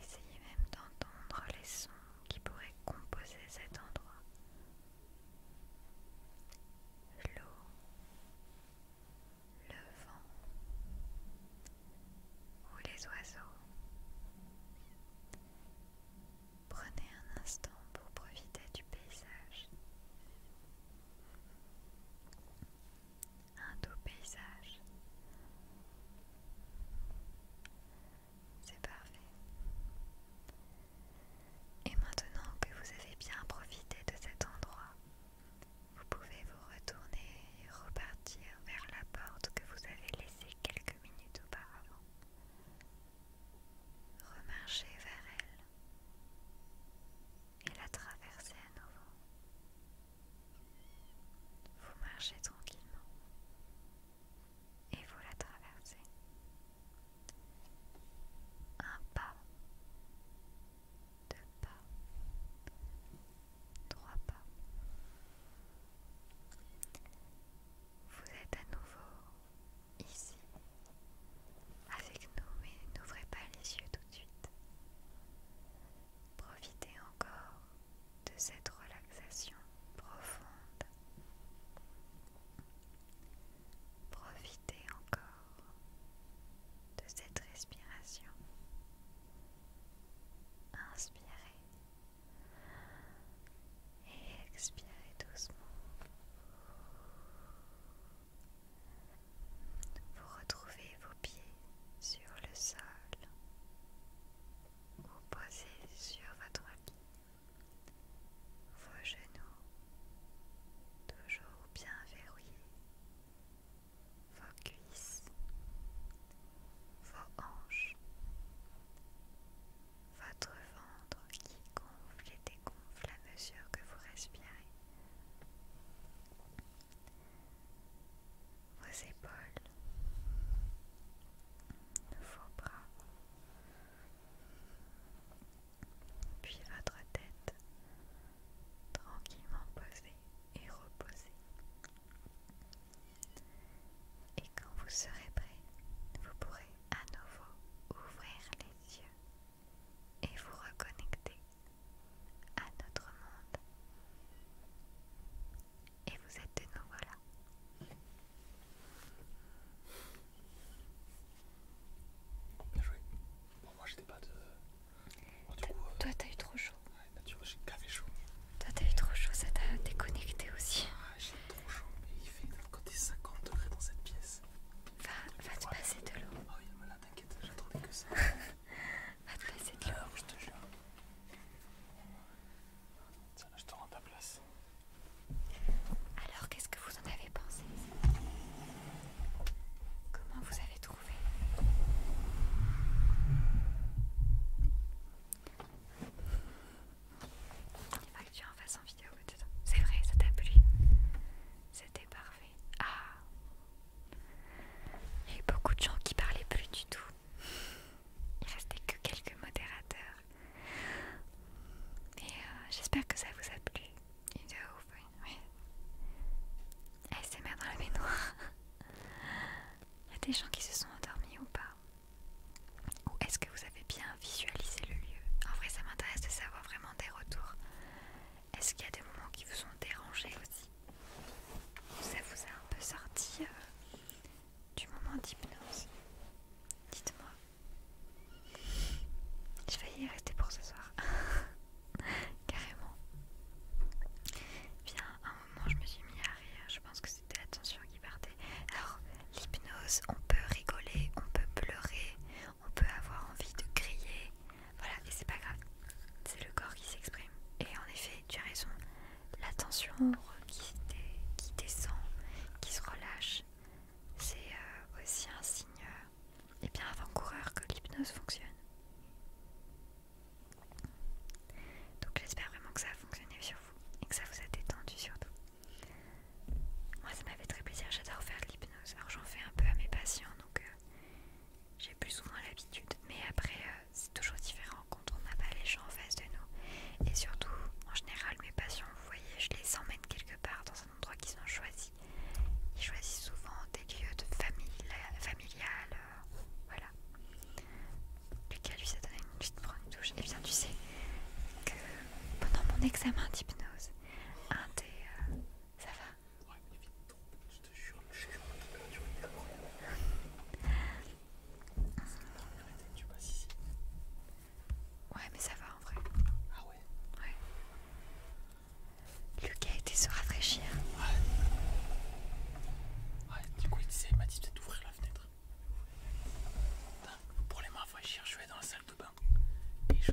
Essayez même d'entendre les sons qui pourraient composer cet endroit. L'eau, le vent ou les oiseaux. Prenez un instant pour profiter du paysage. Un doux paysage. C'est parfait. Et maintenant que vous avez bien profité de cet endroit, vous pouvez vous retourner et repartir vers la porte que vous avez laissée quelques minutes auparavant. Remarchez vers elle et la traverser à nouveau. Vous marchez tranquillement et vous la traversez. Un pas, deux pas, trois pas vous êtes à nouveau ici avec nous, mais n'ouvrez pas les yeux tout de suite. Profitez encore de cette relaxation profonde. Profitez encore de cette respiration. Inspirez et expirez doucement. Vous retrouvez vos pieds sur le sol vous posez sur votre lit. Vos genoux toujours bien verrouillés. Vos cuisses, vos hanches, votre ventre qui gonfle et dégonfle à mesure que vous respirez, vos épaules, vos bras, puis votre tête tranquillement posée et reposée. Et quand vous serez prêt, vous pourrez à nouveau ouvrir les yeux et vous reconnecter à notre monde. Et vous êtes de nouveau là. Bien joué. moi j'étais pas de. Euh, Toi t'as eu trop chaud. Bah, j'ai café chaud. Toi t'as eu trop chaud, ça t'a déconnecté aussi. Ah, j'ai trop chaud, mais il fait l'autre côté 50 degrés dans cette pièce. Va, va te placer de l'eau. Oh ah il y le malade, t'inquiète, j'attendais que ça. va te passer de l'eau. Ah, je te jure. Tiens, là, je te rends ta place. Alors, qu'est-ce que vous en avez pensé Comment vous avez trouvé il faut que tu en fasses en vidéo peut-être. C'est vrai, ça t'a plu. C'était parfait. Ah Il y a eu beaucoup de gens qui parlaient plus du tout. Il restait que quelques modérateurs. Et euh, j'espère que ça vous a plu. Une de oui. dans la baignoire. Il y a des gens qui se sont endormis ou pas ou est-ce que vous avez bien visualisé le lieu En vrai, ça m'intéresse de savoir vraiment des retours. Est-ce qu'il y a des moments qui vous ont dérangé aussi Ou ça vous a un peu sorti euh, du moment d'hypnose Dites-moi. Je vais y rester pour ce soir. Carrément. Bien, à un moment, je me suis mis à rire. Je pense que c'était la alors, l'hypnose, on peut rigoler, on peut pleurer, on peut avoir envie de crier. Voilà, et c'est pas grave. C'est le corps qui s'exprime. Et en effet, tu as raison. La tension qui, descend, qui se relâche, c'est euh, aussi un signe et euh, eh bien avant-coureur que l'hypnose fonctionne. Donc j'espère vraiment que ça a fonctionné sur vous et que ça vous a détendu surtout. Moi ça m'avait très plaisir, j'adore faire de l'hypnose. Alors j'en fais un peu à mes patients, donc euh, j'ai plus ou moins l'habitude. Mais après euh, c'est toujours différent quand on n'a pas les gens en face de nous. Et surtout, en général mes patients, vous voyez, je les emmène quelque part dans un endroit qu'ils ont choisi. Ils choisissent souvent des lieux de famille, familial, euh, voilà. Lucas lui ça donné une petite prendre une douche. Et eh bien tu sais que pendant mon examen d'hypnose, un des... Euh, ça va Ouais, mais vite, je te jure, je suis en température, il est incroyable. C'est la étape, tu passes ici. Ouais, mais ça va en vrai. Ah ouais Ouais. Lucas était se rafraîchir. Ouais. Ouais, du coup, il disait, il m'a dit peut-être d'ouvrir la fenêtre. Pour les mains je vais dans la salle de bain. Et je...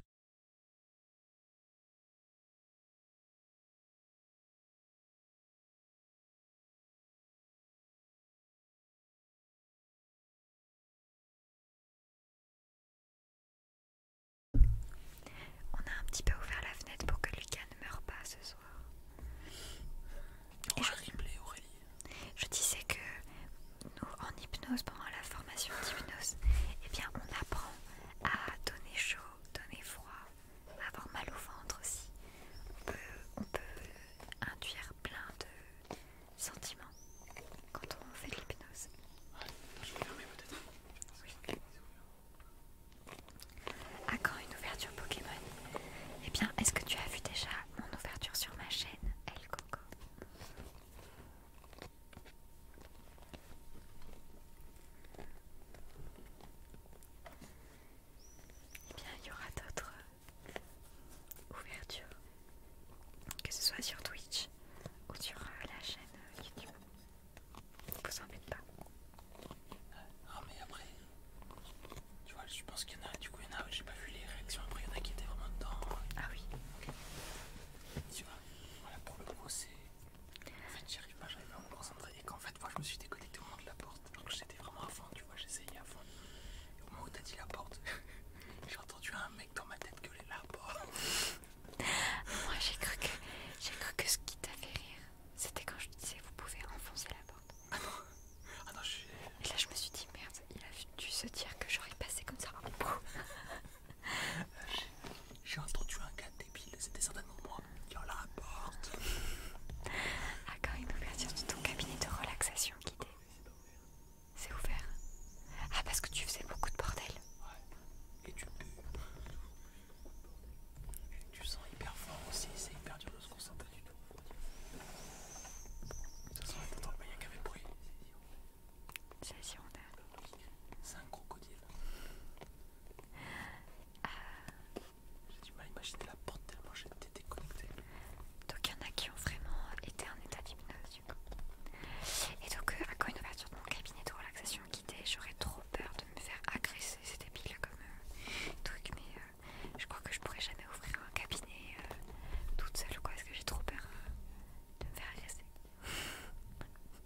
On a un petit peu ouvert la fenêtre pour que Lucas ne meure pas ce soir. On va Aurélie je disais que nous, en hypnose, pendant la formation d'hypnose, eh bien, on apprend à donner chaud, donner froid, avoir mal au ventre aussi. On peut, induire plein de sentiments quand on fait de l'hypnose. Ah, je peut-être. quand une ouverture Pokémon Eh bien, est-ce que tu as vu déjà mon ouverture sur ma chaîne El Coco eh bien, il y aura d'autres ouvertures, que ce soit sur Twitch ou sur euh, la chaîne euh, YouTube. Vous en faites pas. Ah, mais après, tu vois, je pense qu'il y en a du coup, j'ai pas vu les réactions après, il y en a qui étaient vraiment dedans. Ah oui. ok. Tu vois, voilà pour le coup c'est. En fait, j'y pas, j'arrive pas à me concentrer. Et qu'en fait, moi je me suis déconnecté au moment de la porte. donc j'étais vraiment à fond, tu vois, j'essayais à fond. Et au moment où t'as dit la porte, j'ai entendu un mec dans ma tête gueuler la porte. moi j'ai cru que. J'ai cru que ce qui t'a fait rire, c'était quand je disais vous pouvez enfoncer la porte. Ah non, ah non je et là, je me suis dit, merde, il a dû se dire que j'aurais passé comme ça. Euh, j'ai entendu un gars débile, c'était certainement moi. qui en la ah, quand il peut ouverture de ton cabinet de relaxation guidé. C'est ouvert. Ah, parce que tu faisais beaucoup de bordel. Ouais. Et tu peux. Tu sens hyper fort aussi, c'est hyper dur de se concentrer du tout. De toute façon, qu'un bruit on C'est un crocodile. Ah. J'ai du mal à imaginer la porte tellement été déconnectée. Donc il y en a qui ont vraiment été en état d'hypnose Et donc euh, à quoi une ouverture de mon cabinet de relaxation guidée, j'aurais trop peur de me faire agresser, c'est débile comme euh, truc, mais euh, je crois que je pourrais jamais ouvrir un cabinet euh, toute seule quoi, est-ce que j'ai trop peur euh, de me faire agresser.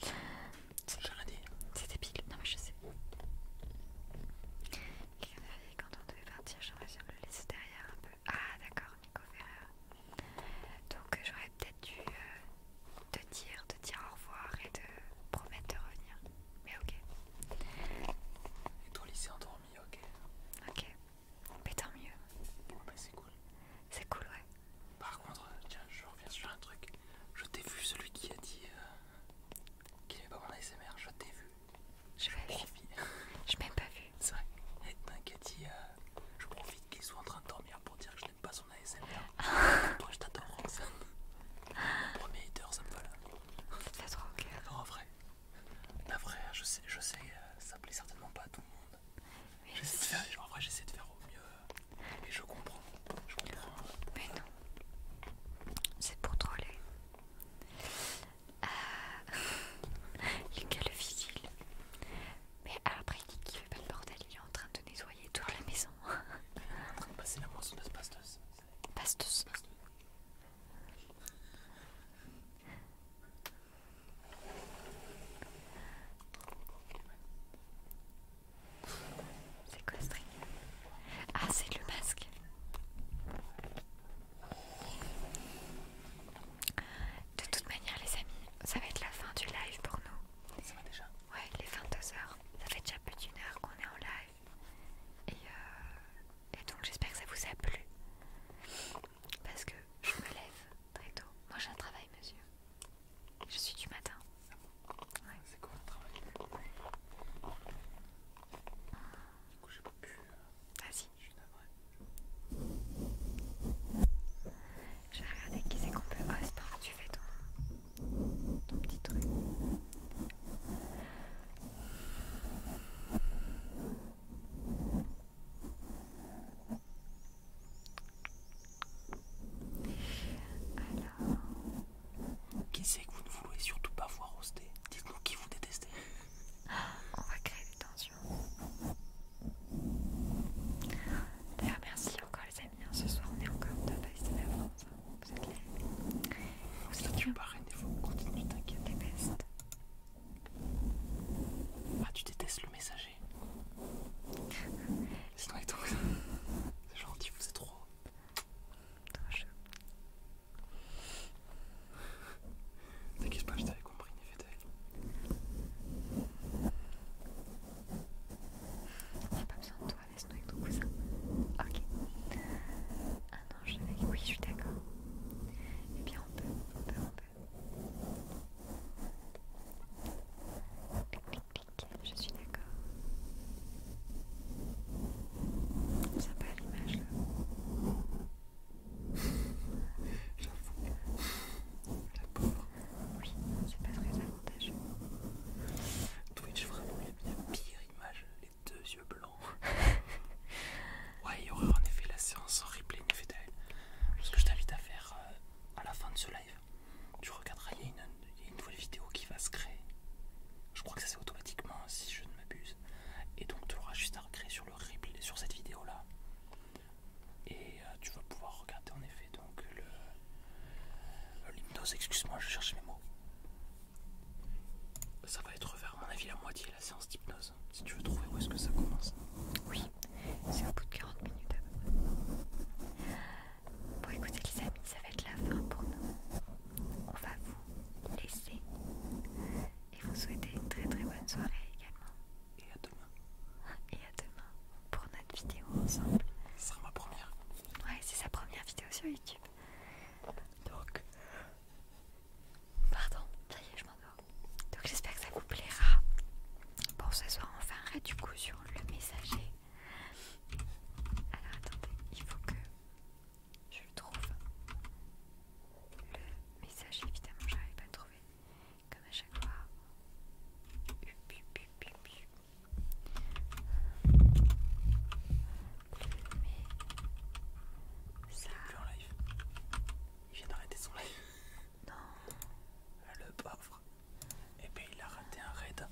J'ai rien dit. C'était pile, non mais je sais. quand on devait partir, j'aurais dû le laisser derrière un peu. Ah d'accord, Nico Ferrer. Donc euh, j'aurais peut-être dû te dire, te dire au revoir et de promettre de revenir. Mais ok. Et toi lycée endormi, ok. Ok. Mais tant mieux. Bah, c'est cool. C'est cool, ouais. Par contre, euh, tiens, je reviens sur un truc. Je t'ai vu, celui qui a dit euh, qu'il n'aimait pas mon ASMR. Je t'ai vu. Je, vais Je m'ai pas vu. C'est vrai. Et a dit euh, je profite qu'il soit en train de dormir pour dire que je n'aime pas son ASMR. Moi je t'adore, Roxane. Premier hater, ça me va là. fait vrai. La je je sais, euh, ça plaît certainement pas à tout le monde. J'essaie de faire, j'essaie de faire au mieux euh, et je comprends. Je comprends. Mais non, c'est pour troller. Euh, Lucas le vigile. Mais après il dit qu'il fait pas le bordel, il est en train de nettoyer toute la maison. il est en train de passer la moissonneuse Pasteuse. pasteuse. C'est quoi ce truc Ah, c'est le masque. De toute manière, les amis, ça va être la fin du live pour nous. Ça va déjà Ouais, les 22h. Ça fait déjà plus d'une heure qu'on est en live. Et, euh, et donc, j'espère que ça vous a plu. Parce que je me lève très tôt. Moi j'ai un travail, monsieur. Je suis du matin. Ah, c'est quoi un travail Du coup, j'ai pas pu. Euh, Vas-y. Je suis Je vais regarder qui c'est qu'on peut. Oh, c'est tu fais ton petit truc. Alors... Qui c'est que vous ne voulez surtout pas voir roster Dites-nous qui vous détestez. On va créer des tensions. D'ailleurs, merci encore les amis. Hein, ce soir, on est au top de de la France. Hein, vous êtes les... Vous êtes bien. Vous êtes bien. Vous êtes ah, tu détestes le messager. Laisse-nous avec ton cousin. C'est gentil, vous êtes trop. T'inquiète pas, je t'avais compris, Néfétel. J'ai pas besoin de toi, laisse-nous avec ton cousin. Ok. Ah non, je l'avais. Oui, je suis d'accord. Eh bien, on peut, on peut, on peut. Je suis d'accord. Ça pas l'image là. J'avoue. La pauvre. Oui, c'est pas très avantageux. Twitch, vraiment, il y la pire image. Les deux yeux blancs. Ouais, il y aura en effet la séance en replay Ce que je t'invite à faire euh, à la fin de ce live, tu regarderas, il y, a une, nouvelle vidéo qui va se créer. Je crois que ça c'est automatiquement si je ne m'abuse. Et donc tu auras juste à recréer sur le replay, sur cette vidéo là. Et euh, tu vas pouvoir regarder en effet donc le l'hypnose, excuse-moi, je cherche mes mots. Ça va être vers à mon avis la moitié la séance d'hypnose. Si tu veux trouver où est-ce que ça commence. Oui, c'est au bout de 40 minutes peu Bon écoutez les amis, ça va être la fin pour nous. On va vous laisser et vous souhaiter une très très bonne soirée également. Et à demain. Et à demain pour notre vidéo ensemble. Ce sera ma première. Ouais, c'est sa première vidéo sur YouTube. Donc, Pardon, ça y est, je m'endors. Donc j'espère que ça vous plaira. Bon, ce soir, on fait un raid du coup sur le messager. Alors attendez, il faut que je le trouve. Le messager, évidemment, j'arrive pas à le trouver. Comme à chaque fois. Il vient d'arrêter son live. Non. Ah, le pauvre. Et eh bien il a raté un raid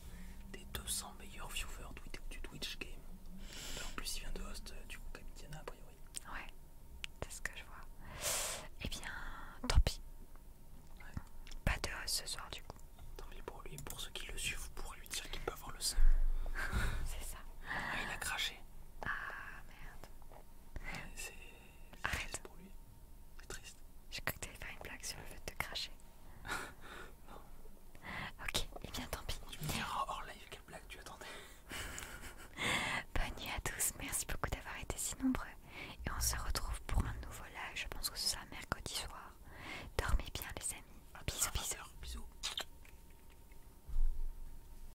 des 200 meilleurs viewers du Twitch game. En plus il vient de host euh, du coup Camitiana a priori. Ouais, c'est ce que je vois. Et eh bien, tant pis. Pas de host ce soir du coup. Tant pis pour lui, pour ceux qui le suivent, vous pourrez lui dire qu'il peut avoir le seum. c'est ça. Ah, il a craché. Ah merde. C'est triste pour lui. C'est triste. J'ai cru que tu t'allais faire une blague sur le fait de cracher. non. Ok, et eh bien tant pis. hors live quelle blague tu attendais. Bonne nuit à tous, merci beaucoup d'avoir été si nombreux. Et on se retrouve pour un nouveau live, je pense que ce sera mercredi soir. Dormez bien les amis. Bisous, bisous. Bisous.